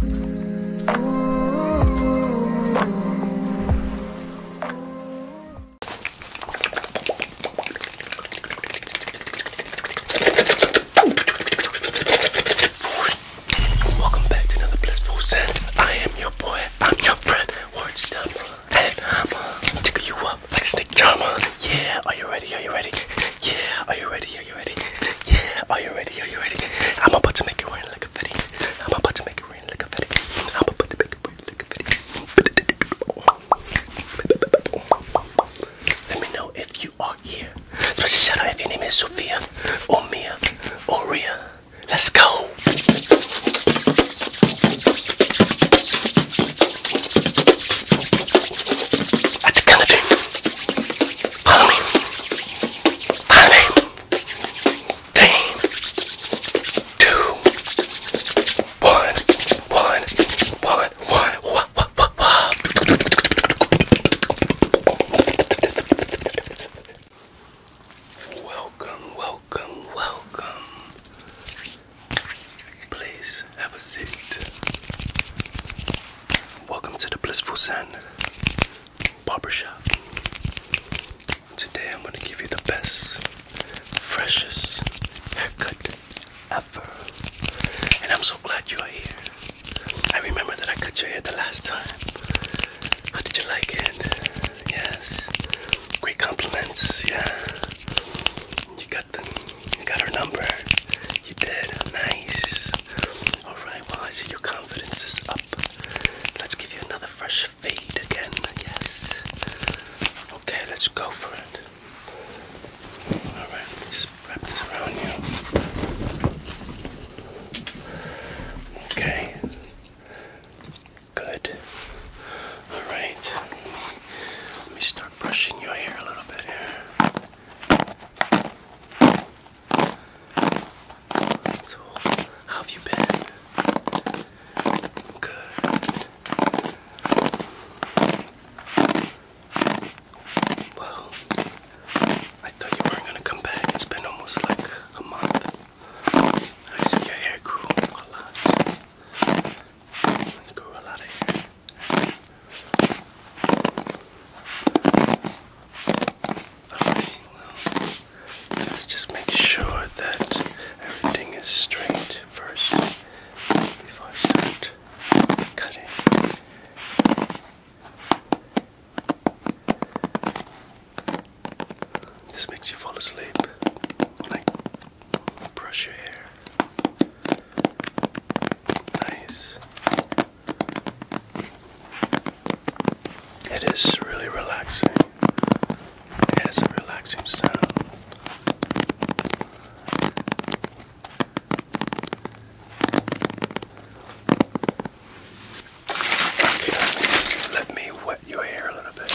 Welcome back to another blissful sin. I am your boy. I'm your friend. Word stumble. And I'ma tickle you up like a snake charmer. Yeah, are you ready? Are you ready? Yeah, are you ready? Are you ready? Yeah. Are you ready? Are you ready? I'm about to make it rain like a fetty. I'm about to make it rain like a fetty. I'm about to make it rain like a fetty. Let me know if you are here. Especially shout out if your name is Sophia or Mia or Ria. Let's go. At the country. Follow me. Follow me. Three, two, one, one, one, one, one, one, one, one. Welcome, welcome, welcome. Please have a seat. Welcome to the blissful sun barbershop. Today I'm gonna give you the best, freshest haircut ever. And I'm so glad you are here. I remember that I cut your hair the last time. How did you like it? Yes. Great compliments, yeah. You got them. You got her number. You did. Nice. Alright, well, I see your confidence is up. Let's give you another fresh feed again, yes. Okay, let's go for it. Alright, just wrap this around you. Okay. Good. Alright. Let me start brushing your hair a little bit here. So, how have you been? Good. Well, I thought you weren't gonna come back. It's been almost like a month. I see your hair grew a lot. It a lot of hair. Alright, well, let's just make sure that everything is straight first before I start cutting. This makes you fall asleep when I brush your hair. Nice. It is really relaxing. It has a relaxing sound. Okay, let me wet your hair a little bit.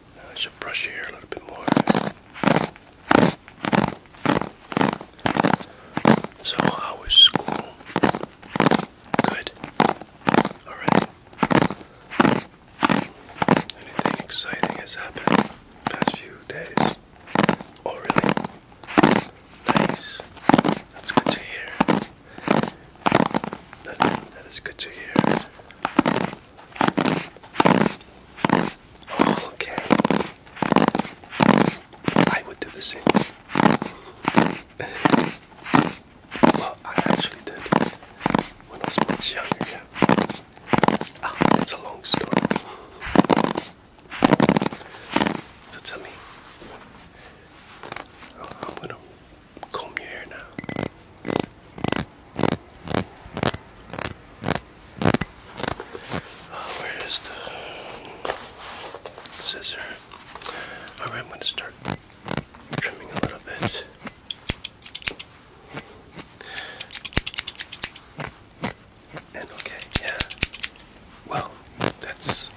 I should brush your hair a little bit more. So, how school? Good. Alright. Anything exciting has happened past few days? Oh, really? Nice. That's good to hear. That, that is good to hear. Okay. I would do the same. well, I actually did when I was much younger. Yeah. it's ah, a long story. So tell me, I'm gonna Come here now. Uh, where is the scissor? Alright, I'm going to start trimming a little bit. And okay, yeah. Well, that's.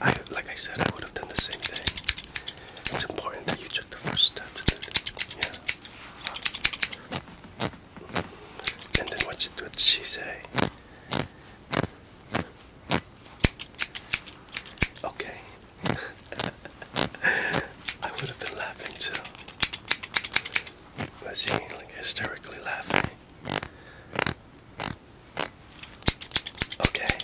I like I said, I would have done the same thing. It's important that you the first step to do Yeah. And then what, what she say? Okay. I would have been laughing too. Was he like hysterically laughing? Okay.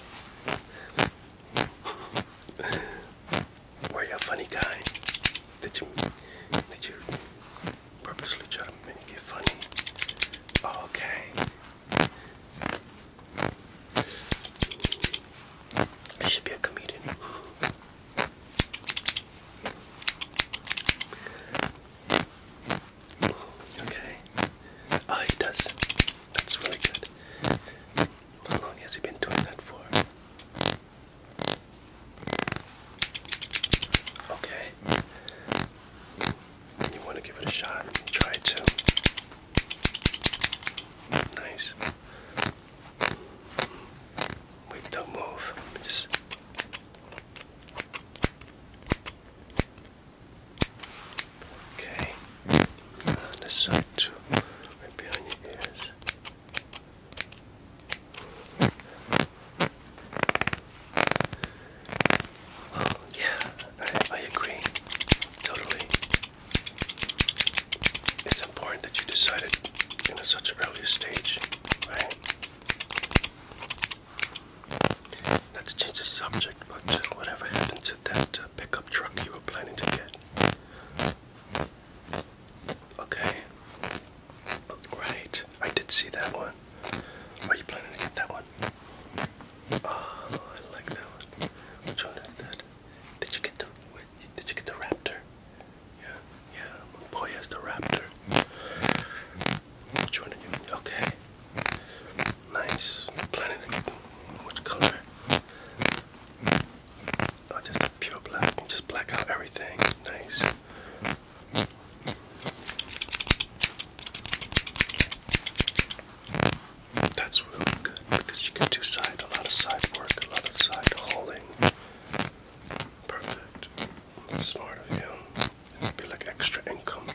Were you a funny guy? Did you did you purposely try to make it funny? Oh, okay. I should be a comedian. Okay. Oh, he does. That's really good. How long has he been doing that for? Okay. You want to give it a shot? Try it too. Nice. Wait, don't move. Just. Okay the side too, right on your ears. Oh yeah, I, agree, totally. It's important that you decided in such an early stage, right? Not to change the subject, but whatever happened to that uh, pickup truck you were planning to get? Okay. Right. I did see that one. Are you planning to get that one? Oh, I like that one. Which one is that? Did you get the did you get the raptor? Yeah, yeah, boy has the raptor. Which one did you okay? Nice. Planning to get which color? just pure black. just black out everything. Nice. That's really good because you can do side a lot of side work, a lot of side hauling. Perfect. smart of you. It'd be like extra income.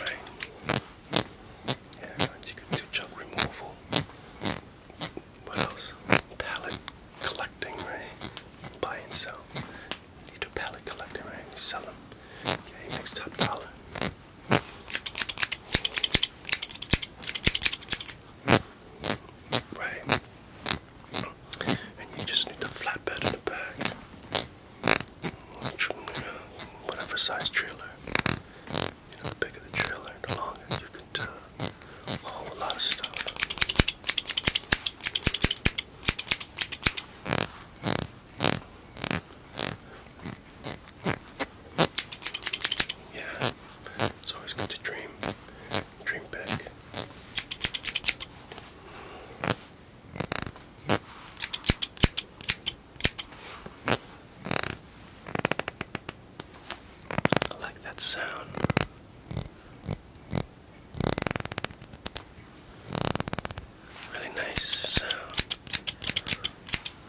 Right. Yeah, you can do junk removal. What else? Pallet collecting, right? Buy and sell. You do pallet collecting, right? sell them. Okay, makes top dollar. Right. And you just need the flatbed in the back. Whatever size trailer. You know, the bigger the trailer, the longer you can tell a whole lot of stuff. Yeah, it's always good to dream, dream big. I like that sound. Really nice sound.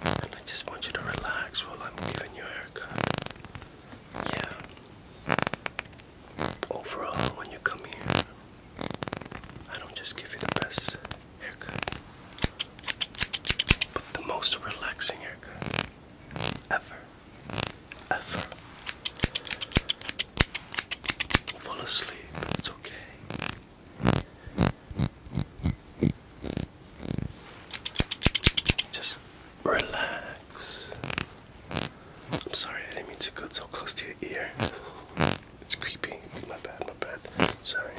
And I just want you to relax while I'm giving you a haircut. Yeah. Overall, when you come here, I don't just give you the best haircut. But the most relaxing haircut ever. Ever. Fall asleep, it's okay. Just relax. I'm sorry, I didn't mean to go so close to your ear. It's creepy. My bad, my bad. Sorry.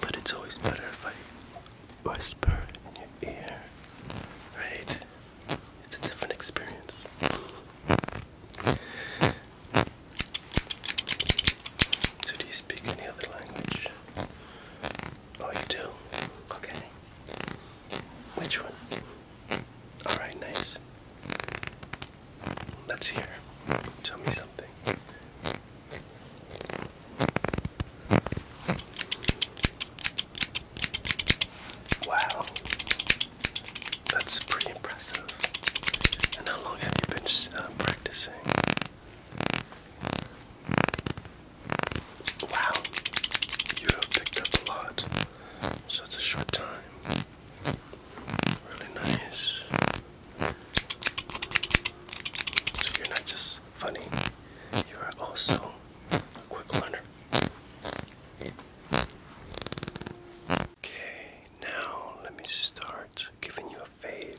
But it's always better if I whisper in your ear, right? It's a different experience. So, do you speak any other language? Oh, you do? Okay. Which one? Alright, nice. Let's hear. Tell me something. Wow. That's pretty impressive. And how long have you been uh, practicing? Wow. You have picked up a lot such a short time. Really nice. So you're not just funny, you are also a quick learner. Okay, now let me start giving you a fade.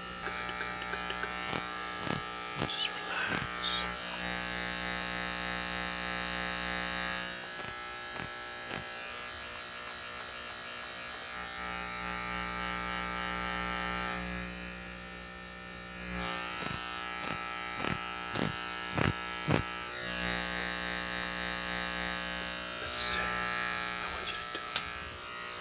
Good, good, good, good. Just relax. Let's see. I want you to do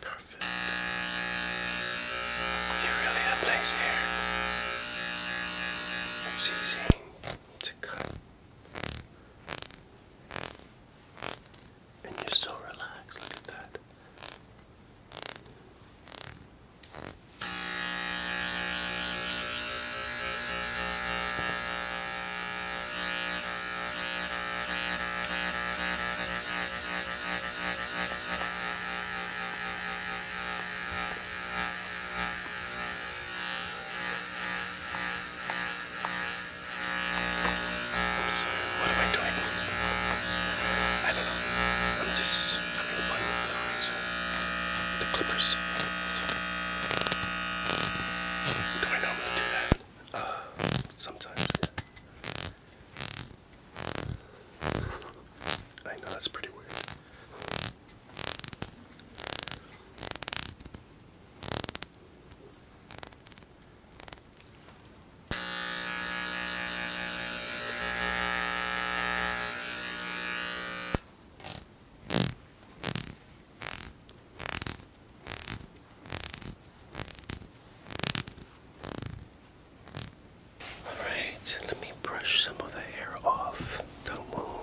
Perfect. You really have nice hair. It's easy to cut. And you're so relaxed. Look at that. I'm sorry, what am I doing? I don't know. I'm just having fun with the razor. The clippers. Do I normally do that? Uh, sometimes. I know that's pretty weird. Alright, let me brush some of the hair off. Don't move.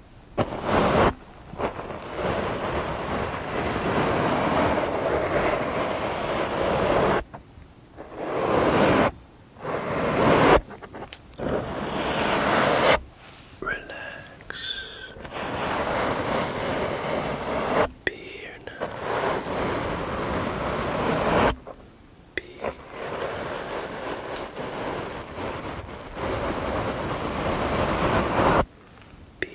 Relax. Be here now. Be here now. Be here now. Be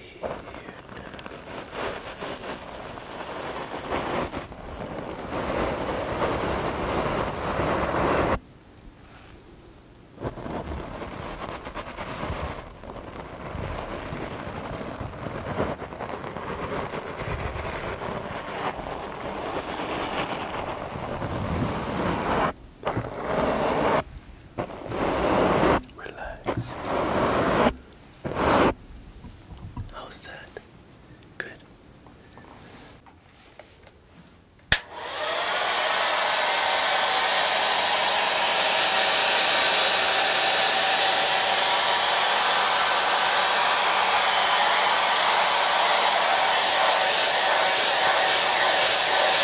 Relax. How's that? Good.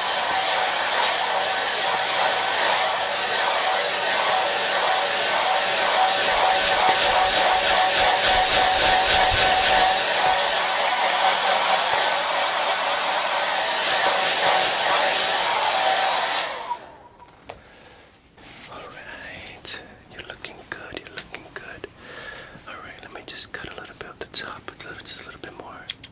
All right, you're looking good. You're looking good. All right, let me just cut a little bit at the top, just a little bit more.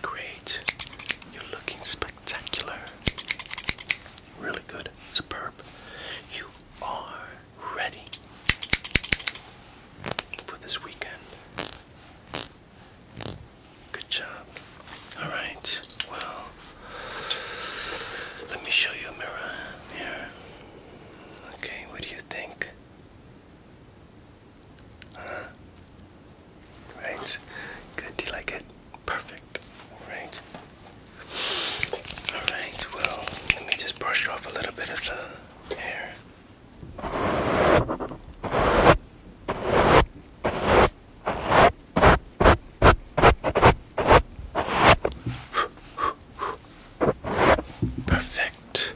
Great. You're looking spectacular. Really good. Superb. You are ready for this weekend. Good job. Alright, well, let me show you a mirror here. Okay, what do you think? Right. Good. Do you like it? Perfect. All right. All right. Well, let me just brush off a little bit of the hair. Perfect.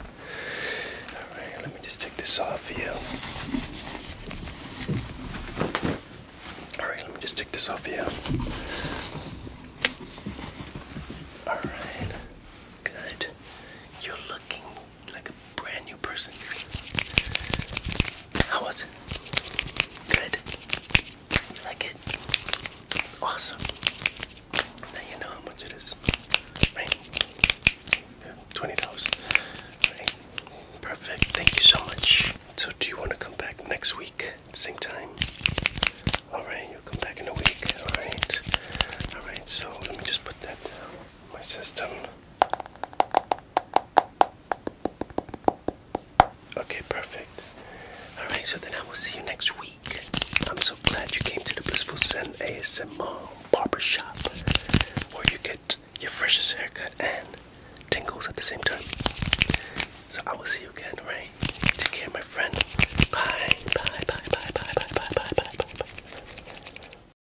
Alright, let me just take this off for you. Alright, let me just take this off for you. Alright. Good. You're looking like a brand new person. How was it? Good. You like it? Awesome. Now you know how much it is. Right? $20. perfect. Thank you so much. So, do you want to come back next week same time? Alright, you'll come back in a week. Alright, alright, so let me just put that down in my system. Okay, perfect. Alright, so then I will see you next week. I'm so glad you came to the Blissful Zen Barber Shop, where you get get your freshest haircut and tingles at the same time. So I will see you again, right? Take care, my friend. Bye, bye, bye, bye, bye, bye, bye, bye, bye, bye, bye.